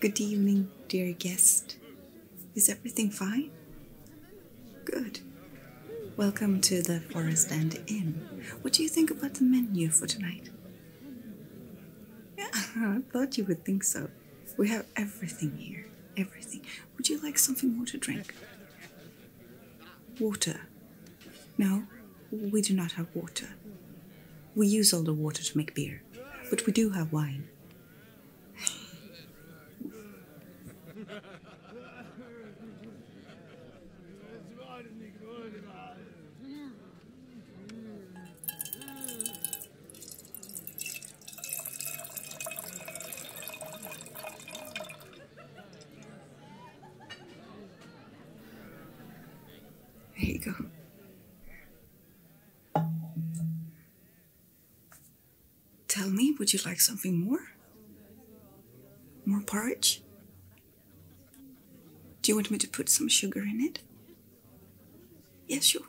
Good evening, dear guest. Is everything fine? Good. Welcome to the Forest and Inn. What do you think about the menu for tonight? Yeah, I thought you would think so. We have everything here. Everything. Would you like something more to drink? Water. No, we do not have water. We use all the water to make beer, but we do have wine. There you go. Tell me, would you like something more? More porridge? Do you want me to put some sugar in it? Yes, yeah, sure.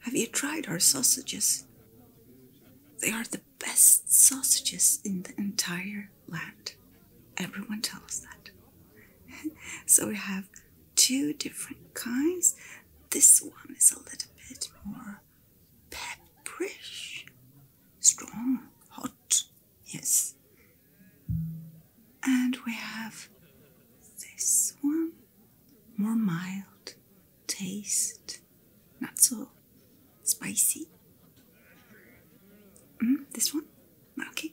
Have you tried our sausages? They are the best sausages in the entire land. Everyone tells that. so we have two different kinds. This one is a little bit more pepperish, strong, hot, yes. And we have this one, more mild taste, not so Spicy? Mm, this one? Okay.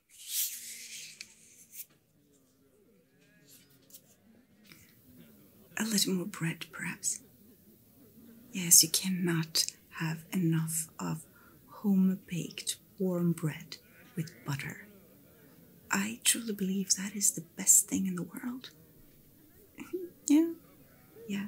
A little more bread, perhaps. Yes, you cannot have enough of home baked warm bread with butter. I truly believe that is the best thing in the world. yeah, yeah.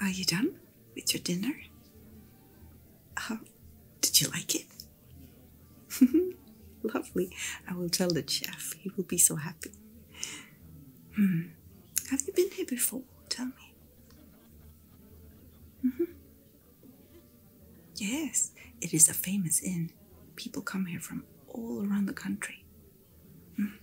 Are you done with your dinner? Oh, did you like it? Lovely. I will tell the chef. He will be so happy. Hmm. Have you been here before? Tell me. Mm-hmm. Yes, it is a famous inn. People come here from all around the country. Mm.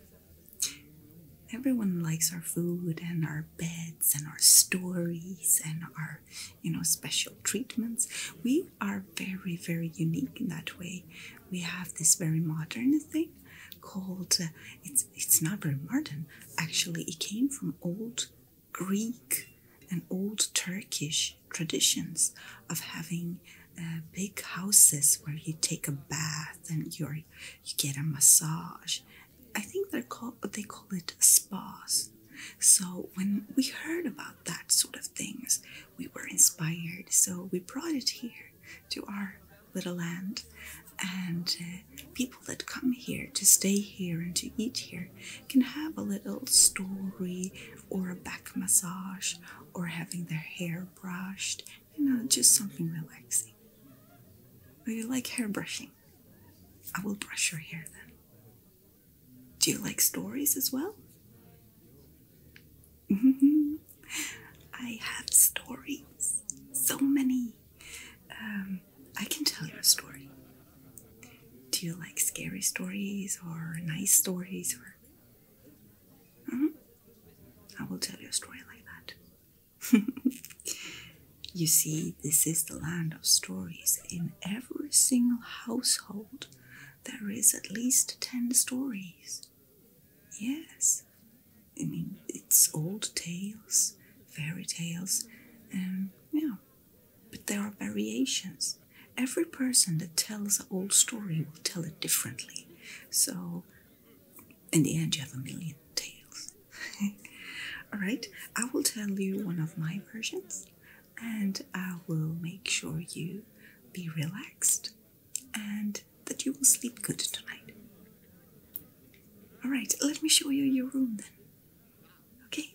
Everyone likes our food and our beds and our stories and our, you know, special treatments. We are very, very unique in that way. We have this very modern thing called uh, it's it's, not very modern. Actually, it came from old Greek and old Turkish traditions of having uh, big houses where you take a bath and you're, you get a massage. I think they're called, they call it spas. So when we heard about that sort of things, we were inspired. So we brought it here to our little land. And uh, people that come here to stay here and to eat here can have a little story or a back massage or having their hair brushed, you know, just something relaxing. Do you like hair brushing? I will brush your hair then. Do you like stories as well? I have stories, so many. Um, I can tell you a story. Do you like scary stories or nice stories? Or mm-hmm. I will tell you a story like that. you see, this is the land of stories. In every single household, there is at least ten stories. Yes, I mean, it's old tales, fairy tales, um, yeah. But there are variations. Every person that tells an old story will tell it differently. So, in the end, you have a million tales. All right, I will tell you one of my versions, and I will make sure you be relaxed and that you will sleep good tonight. All right, let me show you your room then. Okay?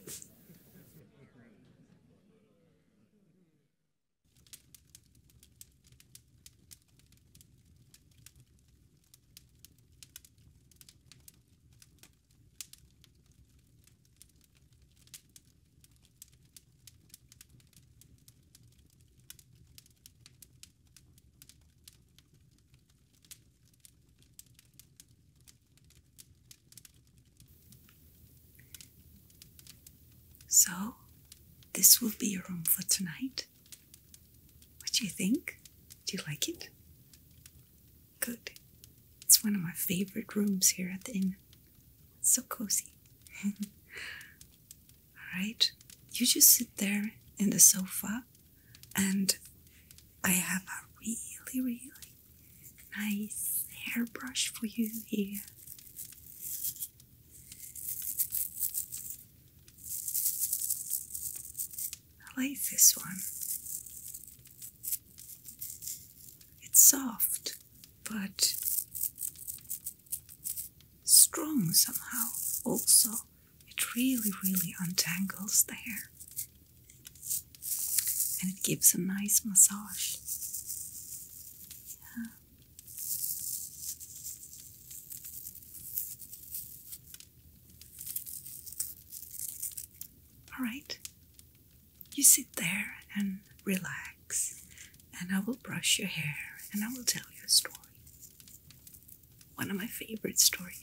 So, this will be your room for tonight. What do you think? Do you like it? Good. It's one of my favorite rooms here at the inn. It's so cozy. All right, you just sit there in the sofa and I have a really, really nice hairbrush for you here. I like this one. It's soft, but strong somehow, also. It really, really untangles the hair and it gives a nice massage. Yeah. All right, you sit there and relax, and I will brush your hair and I will tell you a story. One of my favorite stories.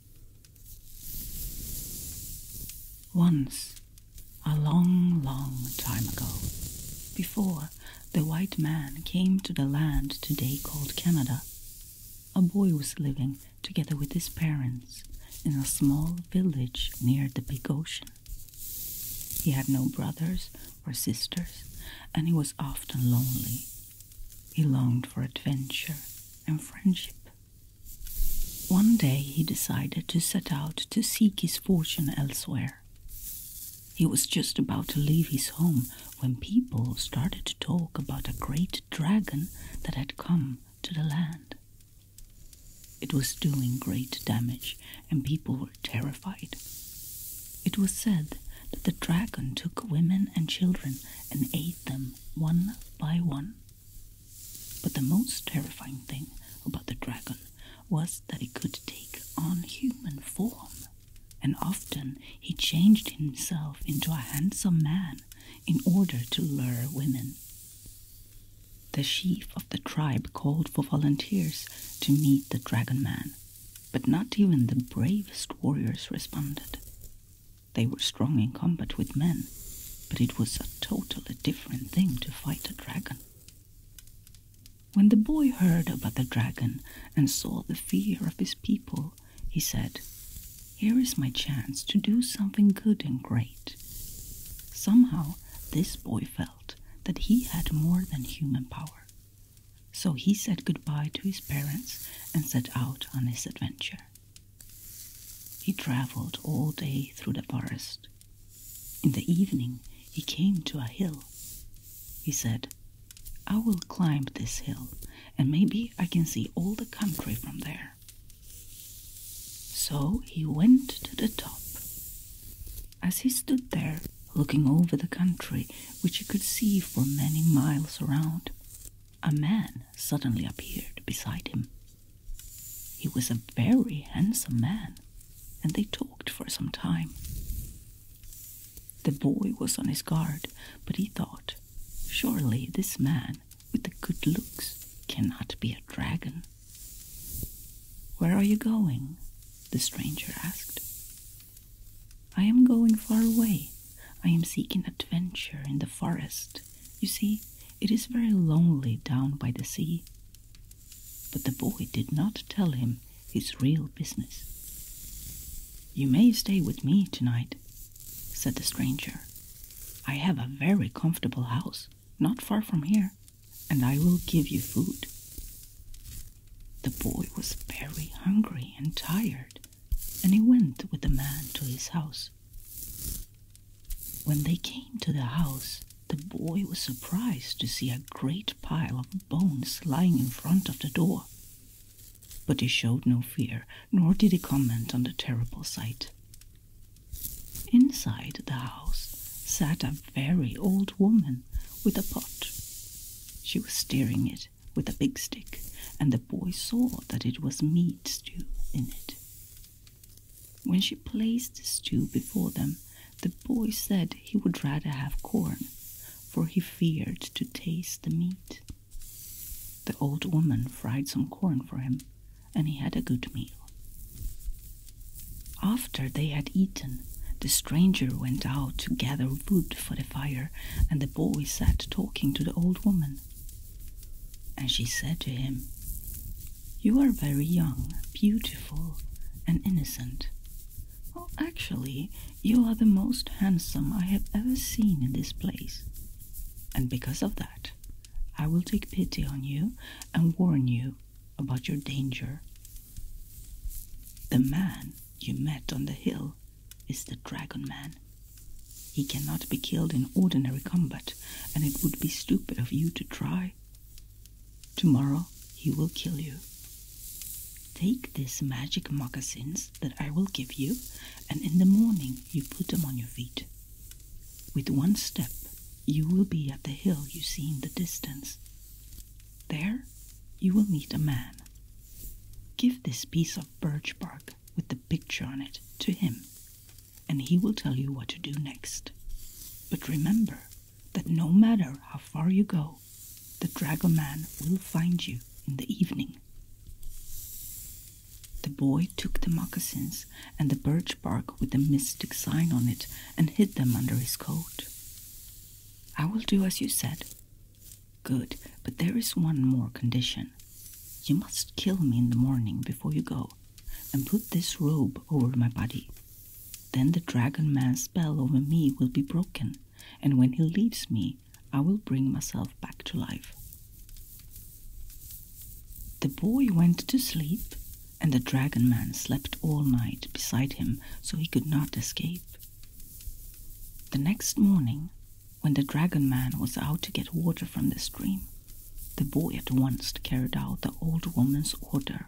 Once, a long, long time ago, before the white man came to the land today called Canada, a boy was living together with his parents in a small village near the big ocean. He had no brothers or sisters, and he was often lonely. He longed for adventure and friendship, one day he decided to set out to seek his fortune elsewhere. He was just about to leave his home when people started to talk about a great dragon that had come to the land. It was doing great damage, and people were terrified. It was said that the dragon took women and children and ate them one by one. But the most terrifying thing about the dragon was that he could take on human form, and often he changed himself into a handsome man in order to lure women. The chief of the tribe called for volunteers to meet the dragon man, but not even the bravest warriors responded. They were strong in combat with men, but it was a totally different thing to fight a dragon. When the boy heard about the dragon and saw the fear of his people, he said, Here is my chance to do something good and great. Somehow, this boy felt that he had more than human power. So he said good-bye to his parents and set out on his adventure. He travelled all day through the forest. In the evening, he came to a hill. He said, I will climb this hill, and maybe I can see all the country from there. So he went to the top. As he stood there, looking over the country, which he could see for many miles around, a man suddenly appeared beside him. He was a very handsome man, and they talked for some time. The boy was on his guard, but he thought, surely this man with the good looks cannot be a dragon. Where are you going? the stranger asked. I am going far away. I am seeking adventure in the forest, you see, it is very lonely down by the sea. But the boy did not tell him his real business. You may stay with me tonight, said the stranger. I have a very comfortable house not far from here, and I will give you food. The boy was very hungry and tired, and he went with the man to his house. When they came to the house, the boy was surprised to see a great pile of bones lying in front of the door. But he showed no fear, nor did he comment on the terrible sight. Inside the house sat a very old woman with a pot. She was stirring it with a big stick, and the boy saw that it was meat stew in it. When she placed the stew before them, the boy said he would rather have corn, for he feared to taste the meat. The old woman fried some corn for him, and he had a good meal. After they had eaten, the stranger went out to gather wood for the fire, and the boy sat talking to the old woman, and she said to him, You are very young, beautiful, and innocent. Well, actually, you are the most handsome I have ever seen in this place. And because of that, I will take pity on you and warn you about your danger. The man you met on the hill is the Dragon Man. He cannot be killed in ordinary combat, and it would be stupid of you to try. Tomorrow he will kill you. Take these magic moccasins that I will give you, and in the morning you put them on your feet. With one step, you will be at the hill you see in the distance. There, you will meet a man. Give this piece of birch bark with the picture on it to him, and he will tell you what to do next. But remember that no matter how far you go, the dragoman will find you in the evening. The boy took the moccasins and the birch bark with the mystic sign on it and hid them under his coat. I will do as you said. Good, but there is one more condition. You must kill me in the morning before you go, and put this robe over my body. Then the dragon man's spell over me will be broken, and when he leaves me, I will bring myself back to life. The boy went to sleep, and the dragon man slept all night beside him so he could not escape. The next morning, when the dragon man was out to get water from the stream, the boy at once carried out the old woman's order.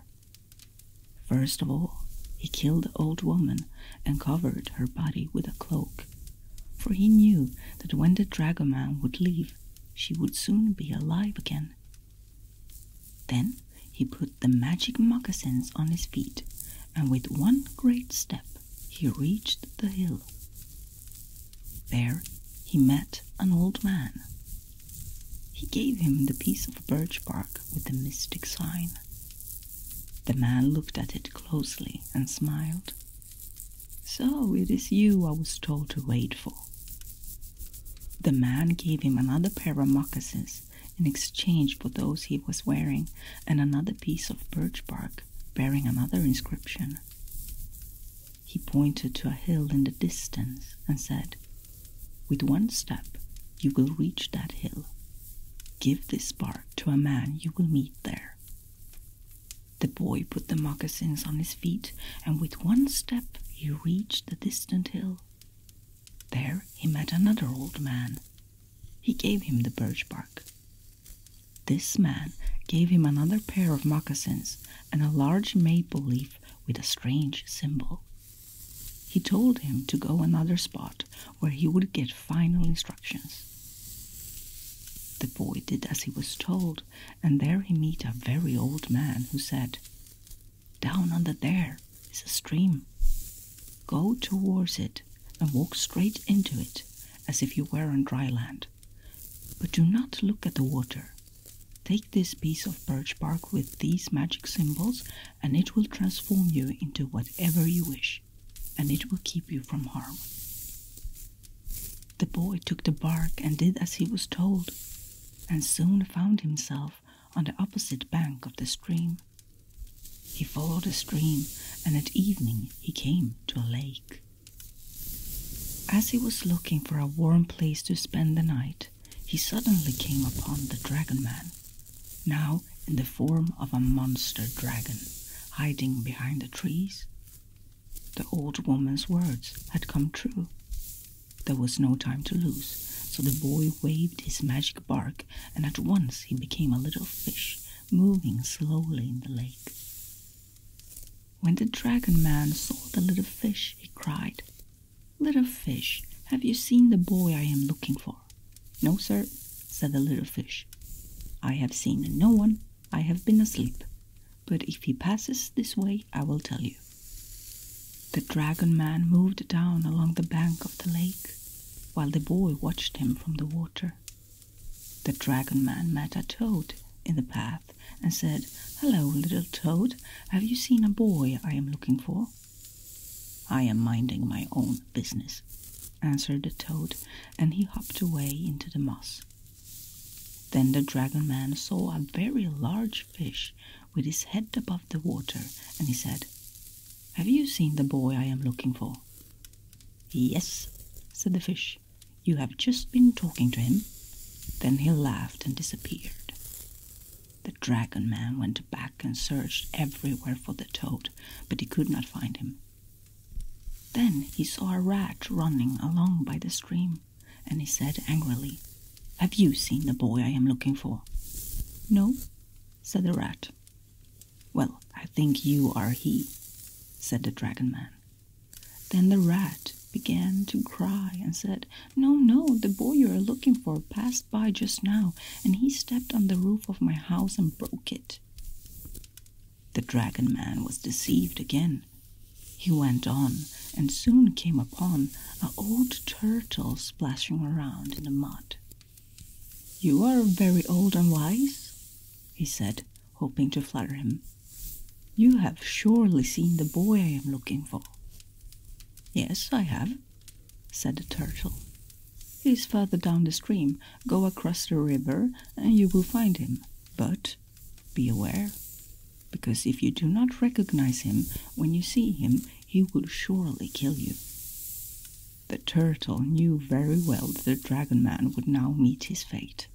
First of all, he killed the old woman and covered her body with a cloak, for he knew that when the dragon man would leave, she would soon be alive again. Then he put the magic moccasins on his feet, and with one great step he reached the hill. There he met an old man. He gave him the piece of birch bark with the mystic sign. The man looked at it closely and smiled. So it is you I was told to wait for. The man gave him another pair of moccasins in exchange for those he was wearing and another piece of birch bark bearing another inscription. He pointed to a hill in the distance and said, With one step you will reach that hill. Give this bark to a man you will meet there. The boy put the moccasins on his feet, and with one step he reached the distant hill. There he met another old man. He gave him the birch bark. This man gave him another pair of moccasins and a large maple leaf with a strange symbol. He told him to go another spot where he would get final instructions. The boy did as he was told, and there he met a very old man who said, Down under there is a stream. Go towards it and walk straight into it as if you were on dry land. But do not look at the water. Take this piece of birch bark with these magic symbols, and it will transform you into whatever you wish, and it will keep you from harm. The boy took the bark and did as he was told, and soon found himself on the opposite bank of the stream. He followed the stream, and at evening he came to a lake. As he was looking for a warm place to spend the night, he suddenly came upon the dragon man, now in the form of a monster dragon hiding behind the trees. The old woman's words had come true. There was no time to lose, so the boy waved his magic bark, and at once he became a little fish moving slowly in the lake. When the dragon man saw the little fish, he cried, Little fish, have you seen the boy I am looking for? No, sir, said the little fish. I have seen no one. I have been asleep. But if he passes this way, I will tell you. The dragon man moved down along the bank of the lake, while the boy watched him from the water. The dragon man met a toad in the path and said, Hello, little toad, have you seen a boy I am looking for? I am minding my own business, answered the toad, and he hopped away into the moss. Then the dragon man saw a very large fish with his head above the water, and he said, Have you seen the boy I am looking for? Yes, said the fish. You have just been talking to him. Then he laughed and disappeared. The dragon man went back and searched everywhere for the toad, but he could not find him. Then he saw a rat running along by the stream, and he said angrily, Have you seen the boy I am looking for? No, said the rat. Well, I think you are he, said the dragon man. Then the rat began to cry and said, No, no, the boy you are looking for passed by just now, and he stepped on the roof of my house and broke it. The dragon man was deceived again. He went on and soon came upon a old turtle splashing around in the mud. You are very old and wise, he said, hoping to flatter him. You have surely seen the boy I am looking for. Yes, I have, said the turtle. He is further down the stream. Go across the river and you will find him. But be aware, because if you do not recognize him when you see him, he will surely kill you. The turtle knew very well that the dragon man would now meet his fate.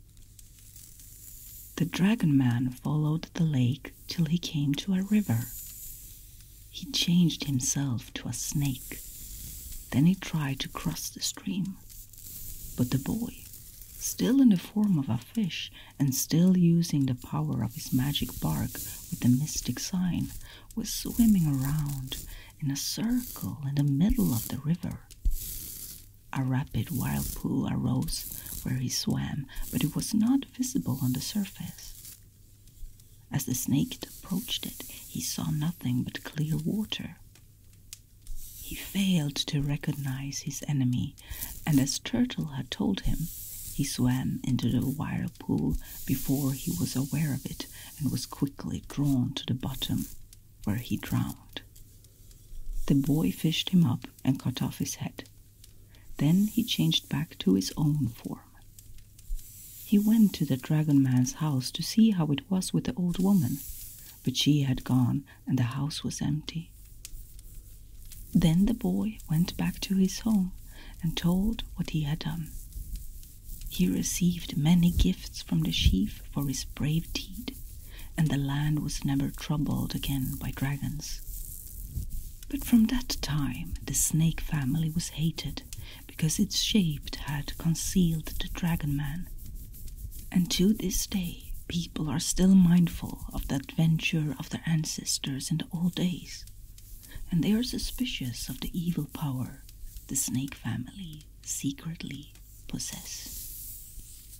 The dragon man followed the lake till he came to a river. He changed himself to a snake. Then he tried to cross the stream. But the boy, still in the form of a fish and still using the power of his magic bark with the mystic sign, was swimming around in a circle in the middle of the river. A rapid whirlpool arose where he swam, but it was not visible on the surface. As the snake approached it, he saw nothing but clear water. He failed to recognize his enemy, and as Turtle had told him, he swam into the whirlpool before he was aware of it and was quickly drawn to the bottom, where he drowned. The boy fished him up and cut off his head. Then he changed back to his own form. He went to the dragon man's house to see how it was with the old woman, but she had gone and the house was empty. Then the boy went back to his home and told what he had done. He received many gifts from the sheaf for his brave deed, and the land was never troubled again by dragons. But from that time the snake family was hated because its shape had concealed the dragon man. And to this day, people are still mindful of the adventure of their ancestors in the old days, and they are suspicious of the evil power the snake family secretly possess.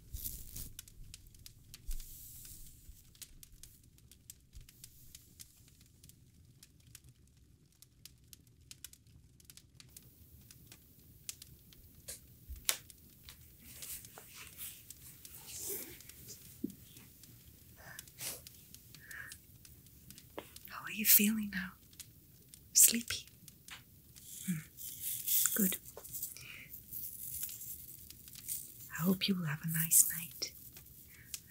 How are you feeling now? Sleepy? Hmm. good. I hope you will have a nice night.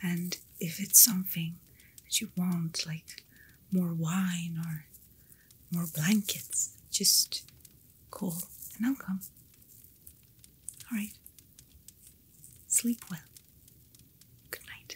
And if it's something that you want, like more wine or more blankets, just call and I'll come. All right. Sleep well. Good night.